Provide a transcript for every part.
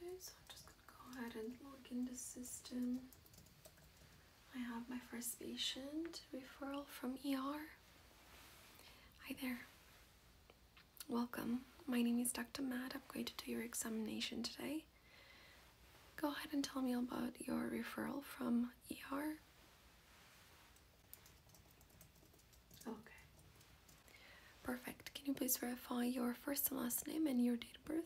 Okay, so I'm just going to go ahead and log in system. I have my first patient referral from ER. Hi there. Welcome. My name is Dr. Matt. I'm going to do your examination today. Go ahead and tell me about your referral from ER. Okay. Perfect. Can you please verify your first and last name and your date of birth?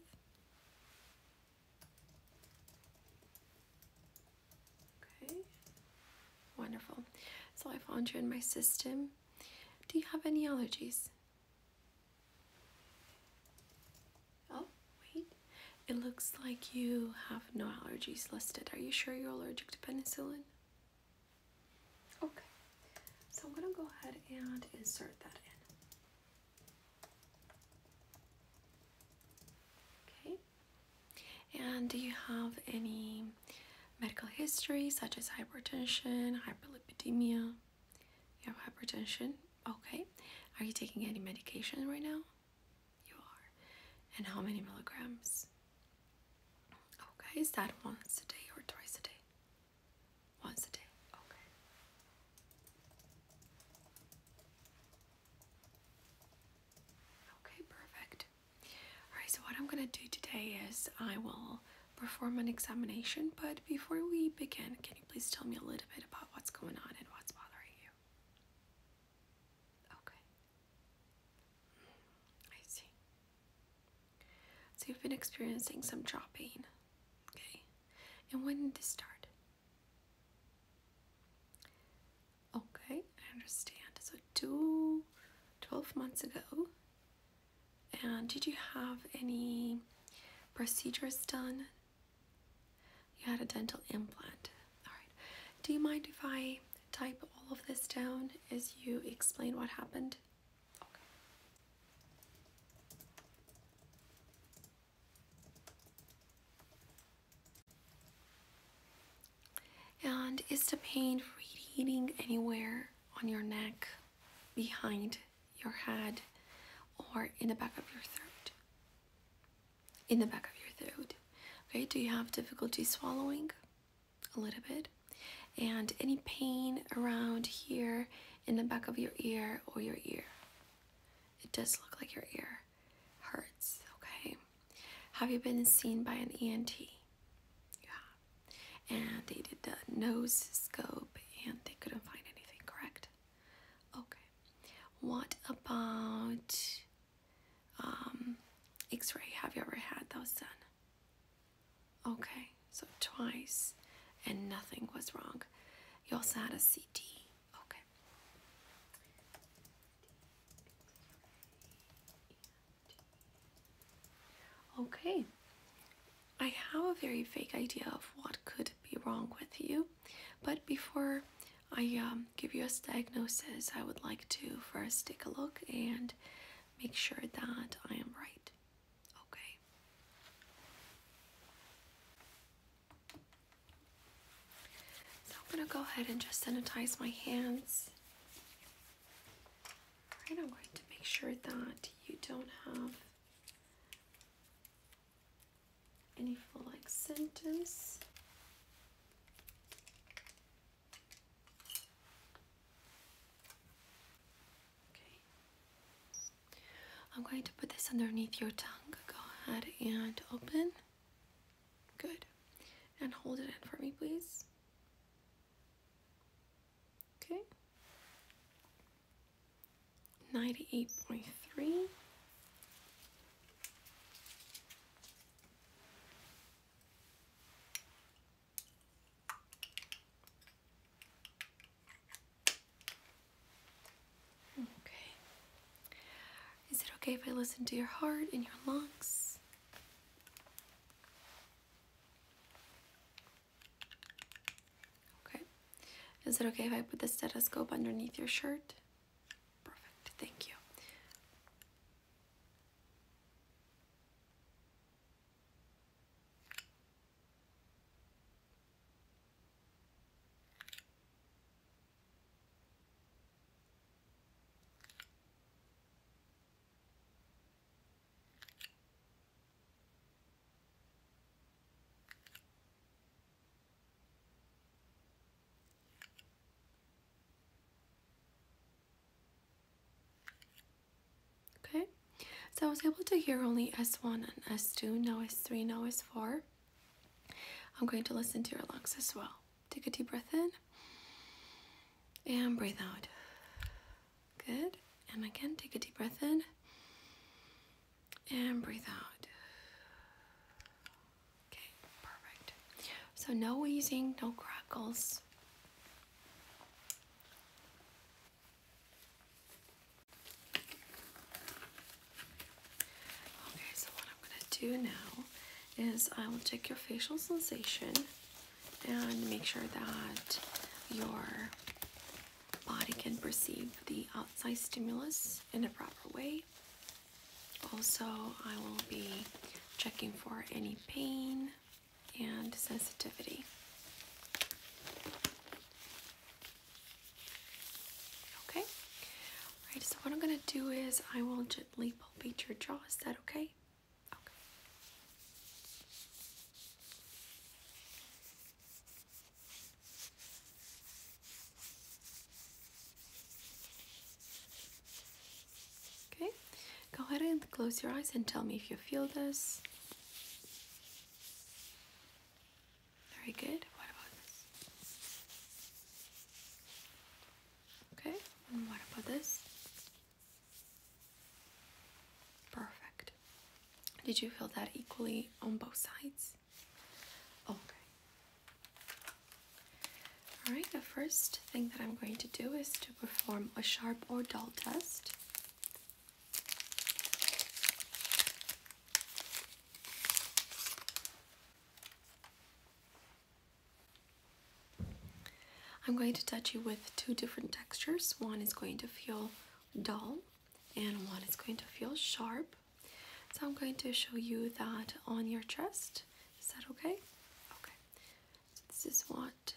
Okay, wonderful. So I found you in my system. Do you have any allergies? Oh, wait. It looks like you have no allergies listed. Are you sure you're allergic to penicillin? Okay, so I'm gonna go ahead and insert that in. Okay, and do you have any medical history such as hypertension, hyperlipidemia? You have hypertension? Okay. Are you taking any medication right now? You are. And how many milligrams? Okay, is that once a day or twice a day? Once a day, okay. Okay, perfect. Alright, so what I'm going to do today is I will perform an examination, but before we begin, can you please tell me a little bit about what's going on and what's bothering you? Okay. I see. So you've been experiencing some jaw Okay. And when did this start? Okay, I understand. So two, twelve months ago. And did you have any procedures done? You had a dental implant. All right. Do you mind if I type all of this down as you explain what happened? And is the pain radiating anywhere on your neck, behind your head, or in the back of your throat? In the back of your throat. Okay, do you have difficulty swallowing? A little bit. And any pain around here in the back of your ear or your ear? It does look like your ear hurts, okay? Have you been seen by an ENT? Yeah. And they did the nose scope and they couldn't find anything, correct? Okay. What about um, x ray? Have you ever had those done? Okay, so twice and nothing was wrong. You also had a CT Okay. Okay. I have a very vague idea of what could be wrong with you, but before I um, give you a diagnosis, I would like to first take a look and make sure that I am right. Okay. So I'm going to go ahead and just sanitize my hands. Right, I'm going to make sure that you don't have any full like sentence. Okay. I'm going to put this underneath your tongue. Go ahead and open. Good. And hold it in for me, please. Okay. 98.3. Okay. Is it okay if I listen to your heart and your lungs? Okay. Is it okay if I put the stethoscope underneath your shirt? Perfect. Thank you. Okay, so I was able to hear only S1 and S2, now S3, now S4. I'm going to listen to your lungs as well. Take a deep breath in and breathe out. Good. And again, take a deep breath in and breathe out. Okay, perfect. So no wheezing, no crackles. Okay, so what I'm going to do now is I will check your facial sensation and make sure that your body can perceive the outside stimulus in a proper way. Also, I will be checking for any pain and sensitivity. Okay, Alright, so what I'm going to do is I will gently palpate your jaw. Is that okay? Okay. Okay, go ahead and close your eyes and tell me if you feel this. Very good. What about this? Okay, and what about this? Perfect. Did you feel that equally on both sides? Okay. Alright, the first thing that I'm going to do is to perform a sharp or dull test. I'm going to touch you with two different textures. One is going to feel dull and one is going to feel sharp. So I'm going to show you that on your chest. Is that okay? Okay. this is what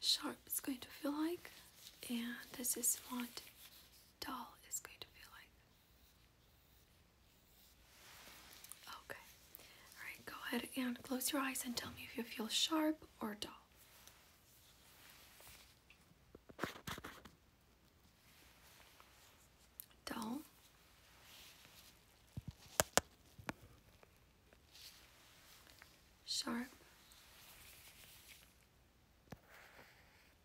sharp is going to feel like and this is what dull is going to feel like. Okay. Alright, go ahead and close your eyes and tell me if you feel sharp or dull. Dull. Sharp.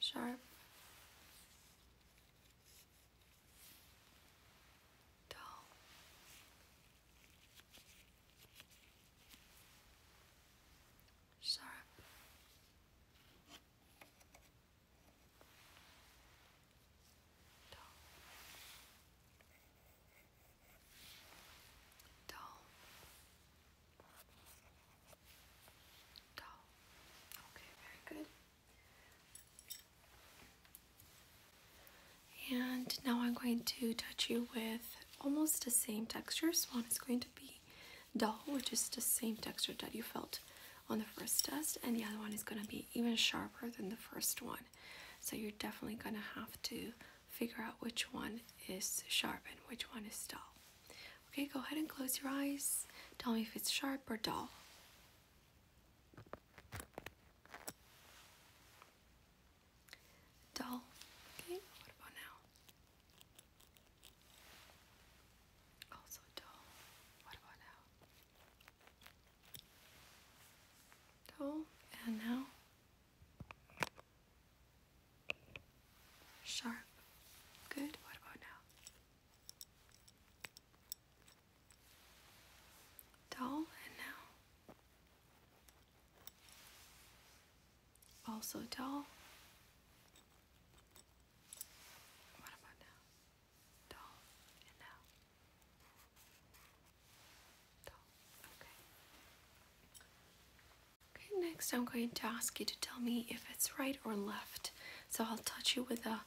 sharp dull sharp dull Dull. Dull. Okay, very good. And now I'm going to touch you with almost the same texture. Swan is going to be dull, which is the same texture that you felt on the first test. And the other one is going to be even sharper than the first one. So you're definitely going to have to figure out which one is sharp and which one is dull. Okay, go ahead and close your eyes. Tell me if it's sharp or dull. Dull. Okay, what about now? Also dull. What about now? Dull. And now? Sharp. Good. What about now? Dull and now. Also dull. What about now? Dull and now. Dull. Okay. Okay, next I'm going to ask you to tell me if it's right or left. So I'll touch you with a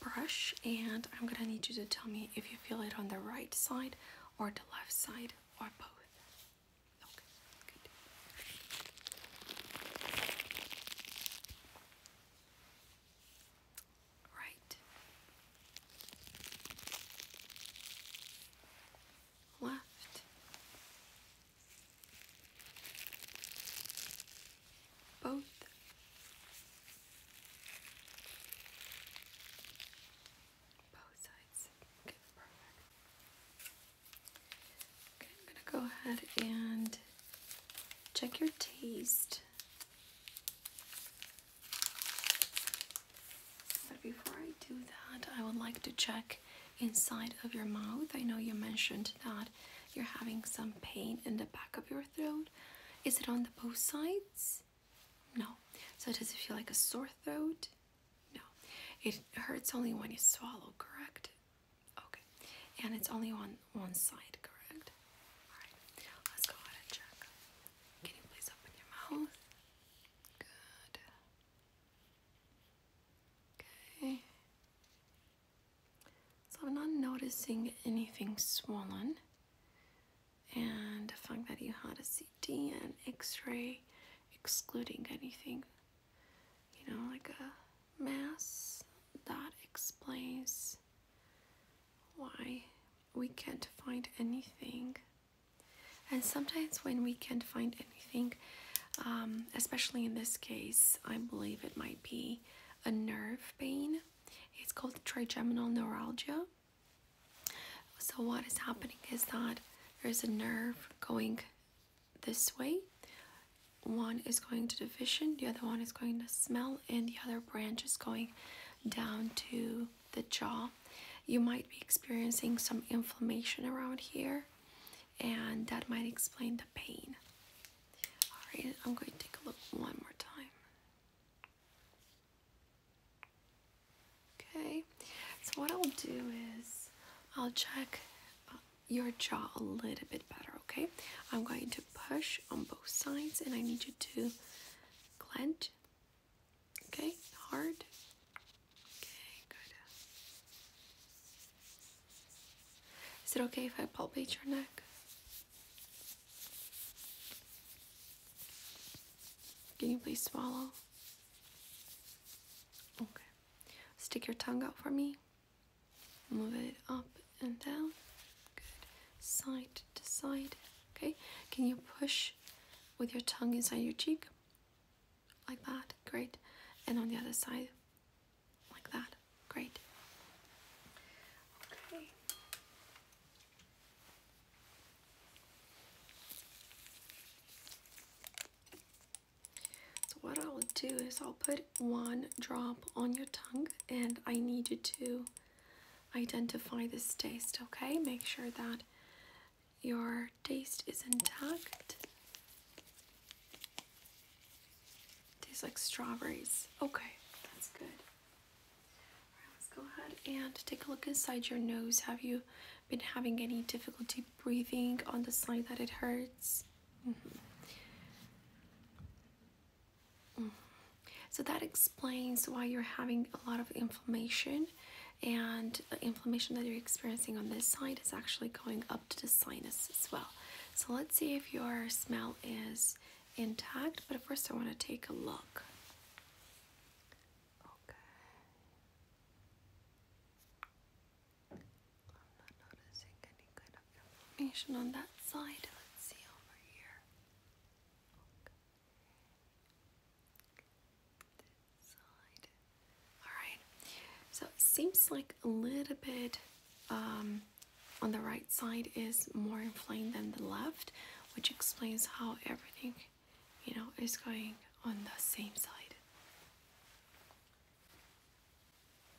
brush and I'm gonna need you to tell me if you feel it on the right side or the left side or both. Right left. Both. Both sides. Okay, perfect. Okay, I'm gonna go ahead and check your taste. But before I do that, I would like to check inside of your mouth. I know you mentioned that you're having some pain in the back of your throat. Is it on the both sides? No. So does it feel like a sore throat? No. It hurts only when you swallow, correct? Okay. And it's only on one side, correct? Alright. Let's go ahead and check. Can you please open your mouth? Good. Okay. So I'm not noticing anything swollen. And the fact that you had a CT and x-ray excluding anything, you know, like a mass, that explains why we can't find anything and sometimes when we can't find anything, um, especially in this case, I believe it might be a nerve pain. It's called trigeminal neuralgia. So what is happening is that there's a nerve going this way. One is going to the vision, the other one is going to smell, and the other branch is going down to the jaw, you might be experiencing some inflammation around here, and that might explain the pain. All right, I'm going to take a look one more time. Okay, so what I'll do is I'll check uh, your jaw a little bit better, okay? I'm going to push on both sides and I need you to clench Okay, hard. Okay, good. Is it okay if I palpate your neck? Can you please swallow? Okay. Stick your tongue out for me. Move it up and down. Good. Side to side. Okay. Can you push with your tongue inside your cheek? like that, great. And on the other side, like that, great. Okay. So what I'll do is I'll put one drop on your tongue and I need you to identify this taste, okay? Make sure that your taste is intact. Tastes like strawberries. Okay, that's good. right, let's go ahead and take a look inside your nose. Have you been having any difficulty breathing on the side that it hurts? Mm-hmm. Mm-hmm. So that explains why you're having a lot of inflammation and inflammation that you're experiencing on this side is actually going up to the sinus as well. So let's see if your smell is intact, but first I want to take a look. Okay. I'm not noticing any kind of inflammation on that side. Let's see over here. Alright, so it seems like a little bit um, on the right side is more inflamed than the left, which explains how everything, you know, is going on the same side.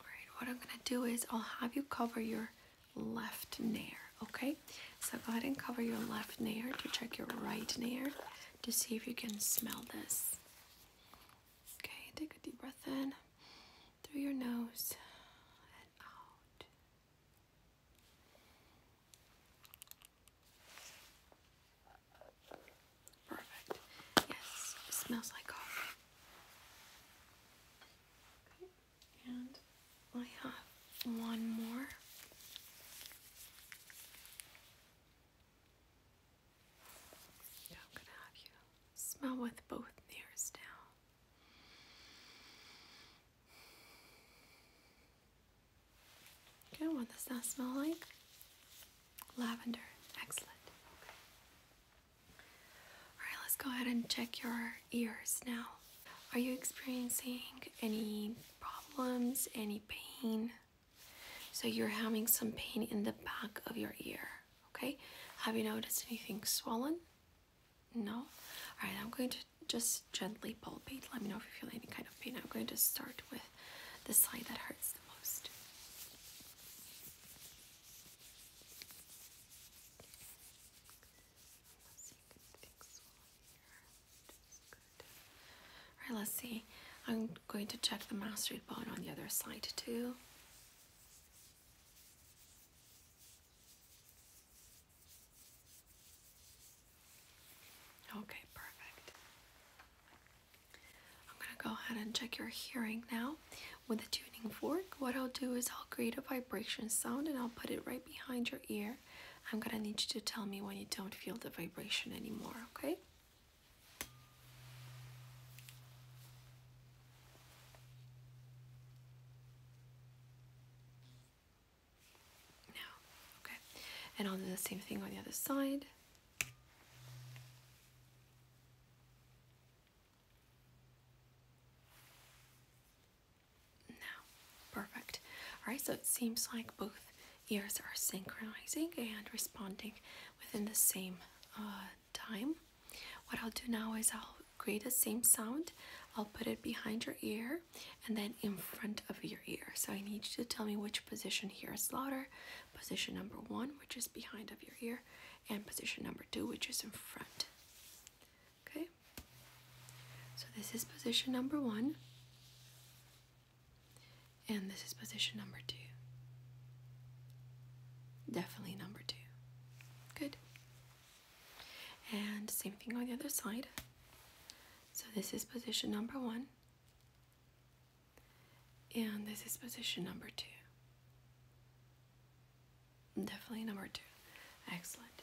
Alright, what I'm gonna do is I'll have you cover your left nair, okay? So go ahead and cover your left nair to check your right nair to see if you can smell this. Okay, take a deep breath in through your nose and out. Perfect. Yes, smells like coffee. and I have one more smell with both ears now. Okay, what does that smell like? Lavender. Excellent. Alright, let's go ahead and check your ears now. Are you experiencing any problems, any pain. So you're having some pain in the back of your ear, okay? Have you noticed anything swollen? No? All right, I'm going to just gently palpate. Let me know if you feel any kind of pain. I'm going to start with the side that hurts the most. Alright, let's see. I'm going to check the mastoid button on the other side too. Okay, perfect. I'm gonna go ahead and check your hearing now with a tuning fork. What I'll do is I'll create a vibration sound and I'll put it right behind your ear. I'm gonna need you to tell me when you don't feel the vibration anymore, okay? No, okay. And I'll do the same thing on the other side. Now, perfect. All right, so it seems like both ears are synchronizing and responding within the same uh, time. What I'll do now is I'll create the same sound. I'll put it behind your ear and then in front of your ear. So I need you to tell me which position here is louder. Position number one, which is behind of your ear, and position number two, which is in front. Okay? So this is position number one. And this is position number two. Definitely number two. Good. And same thing on the other side. So this is position number one. And this is position number two. Definitely number two. Excellent.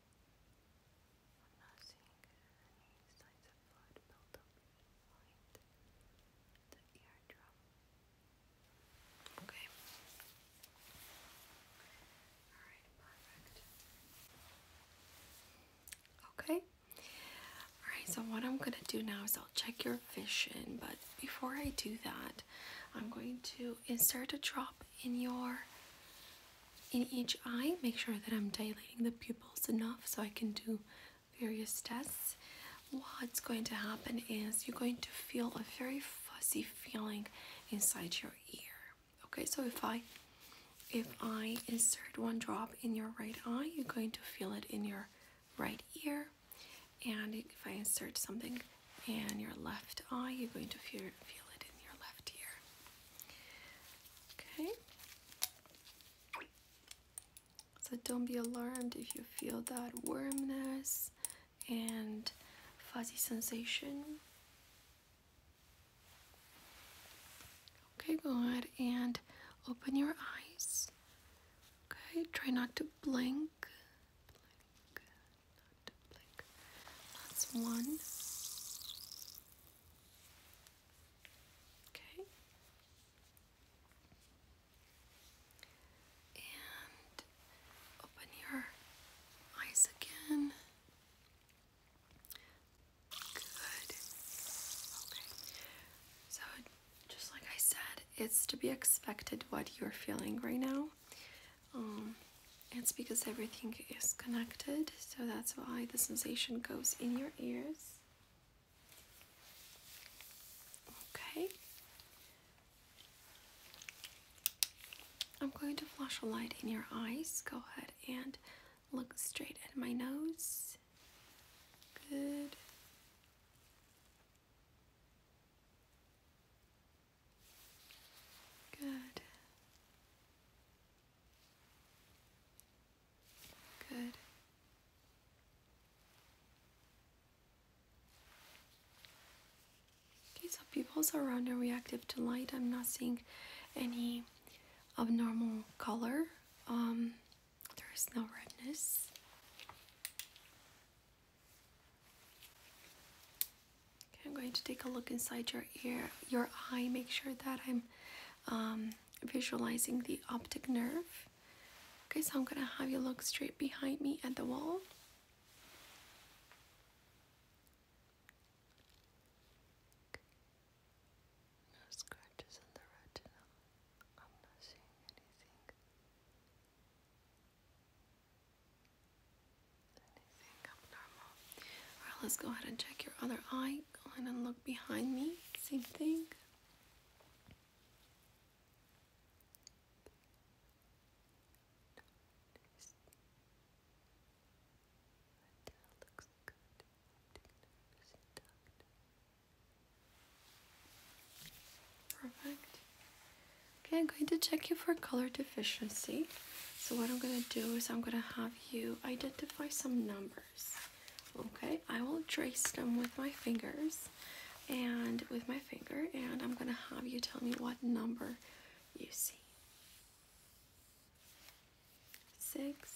Okay. Alright, perfect. Okay. Alright, so what I'm gonna do now is I'll check your vision, but before I do that, I'm going to insert a drop in your in each eye. Make sure that I'm dilating the pupils enough so I can do various tests. What's going to happen is you're going to feel a very fuzzy feeling inside your ear. Okay, so if I if I insert one drop in your right eye, you're going to feel it in your right ear. And if I insert something in your left eye, you're going to feel, feel it in your left ear. Okay. So don't be alarmed if you feel that warmness and fuzzy sensation. Okay, go ahead and open your eyes. Okay, try not to blink. blink not blink. That's one. Okay. And open your eyes again. Good. Okay. So, just like I said, it's to be expected what you're feeling right now. Um, it's because everything is connected, so that's why the sensation goes in your ears. Okay. I'm going to flash a light in your eyes. Go ahead and look straight at my nose. Good. Good. Good. Okay, so pupils around are reactive to light. I'm not seeing any abnormal color. Um, there is no redness. I'm going to take a look inside your ear, your eye. Make sure that I'm um, visualizing the optic nerve. Okay, so I'm gonna have you look straight behind me at the wall. No scratches on the retina. I'm not seeing anything. Alright, let's go ahead and check your other eye. Go ahead and look behind me. Same thing. Perfect. Okay, I'm going to check you for color too. Efficiency. So what I'm going to do is I'm going to have you identify some numbers. Okay, I will trace them with my fingers and with my finger and I'm going to have you tell me what number you see. Six.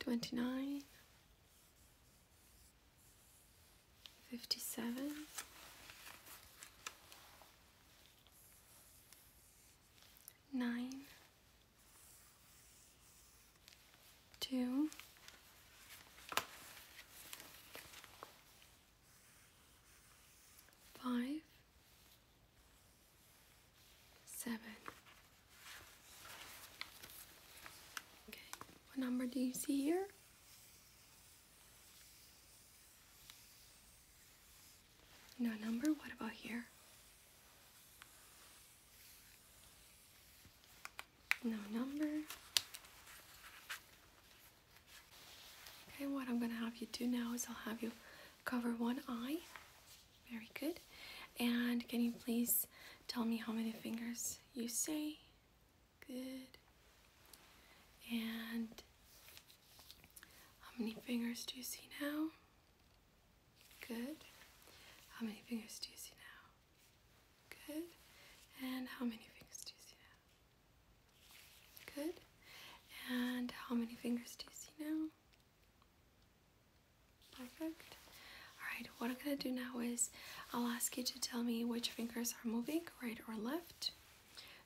Twenty-nine fifty seven. Nine, Okay. What number do you see here? No number? What about here? No number. Okay, what I'm gonna have you do now is I'll have you cover one eye. Very good. And can you please tell me how many fingers you see? Good. And how many fingers do you see now? Good. How many fingers do you see now? Good. And how many fingers do you see now? Good. And how many fingers do you see now? Perfect. Alright, what I'm going to do now is I'll ask you to tell me which fingers are moving, right or left.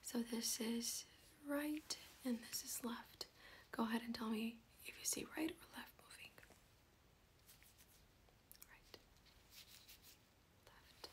So this is right and this is left. Go ahead and tell me if you see right or left moving. Right. Left. Right. Both.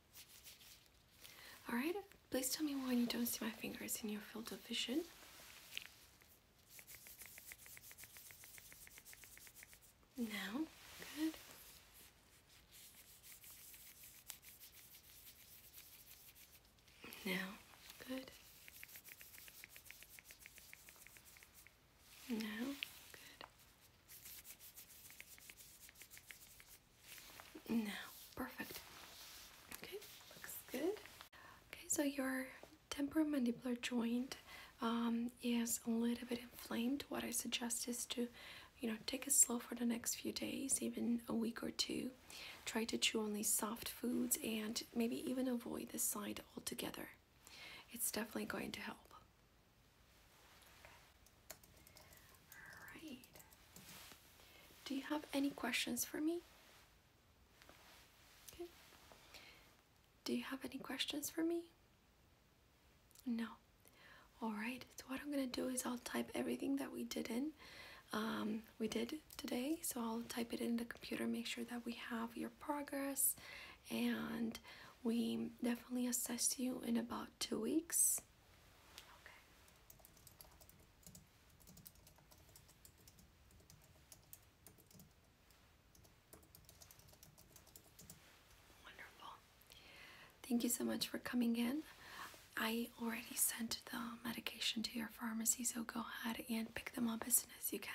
Alright, please tell me why you don't see my fingers in your field of vision. Now, good. Now, good. Now, good. Now, perfect. Okay, looks good. Okay, so your temporomandibular joint um, is a little bit inflamed. What I suggest is to, you know, take it slow for the next few days, even a week or two. Try to chew only soft foods and maybe even avoid this side altogether. It's definitely going to help. Do you have any questions for me? Do you have any questions for me? No. Alright, so what I'm gonna do is I'll type everything that we did in. Um, we did today, so I'll type it in the computer, make sure that we have your progress and we definitely assess you in about two weeks. Wonderful. Thank you so much for coming in. I already sent the medication to your pharmacy, so go ahead and pick them up as soon as you can.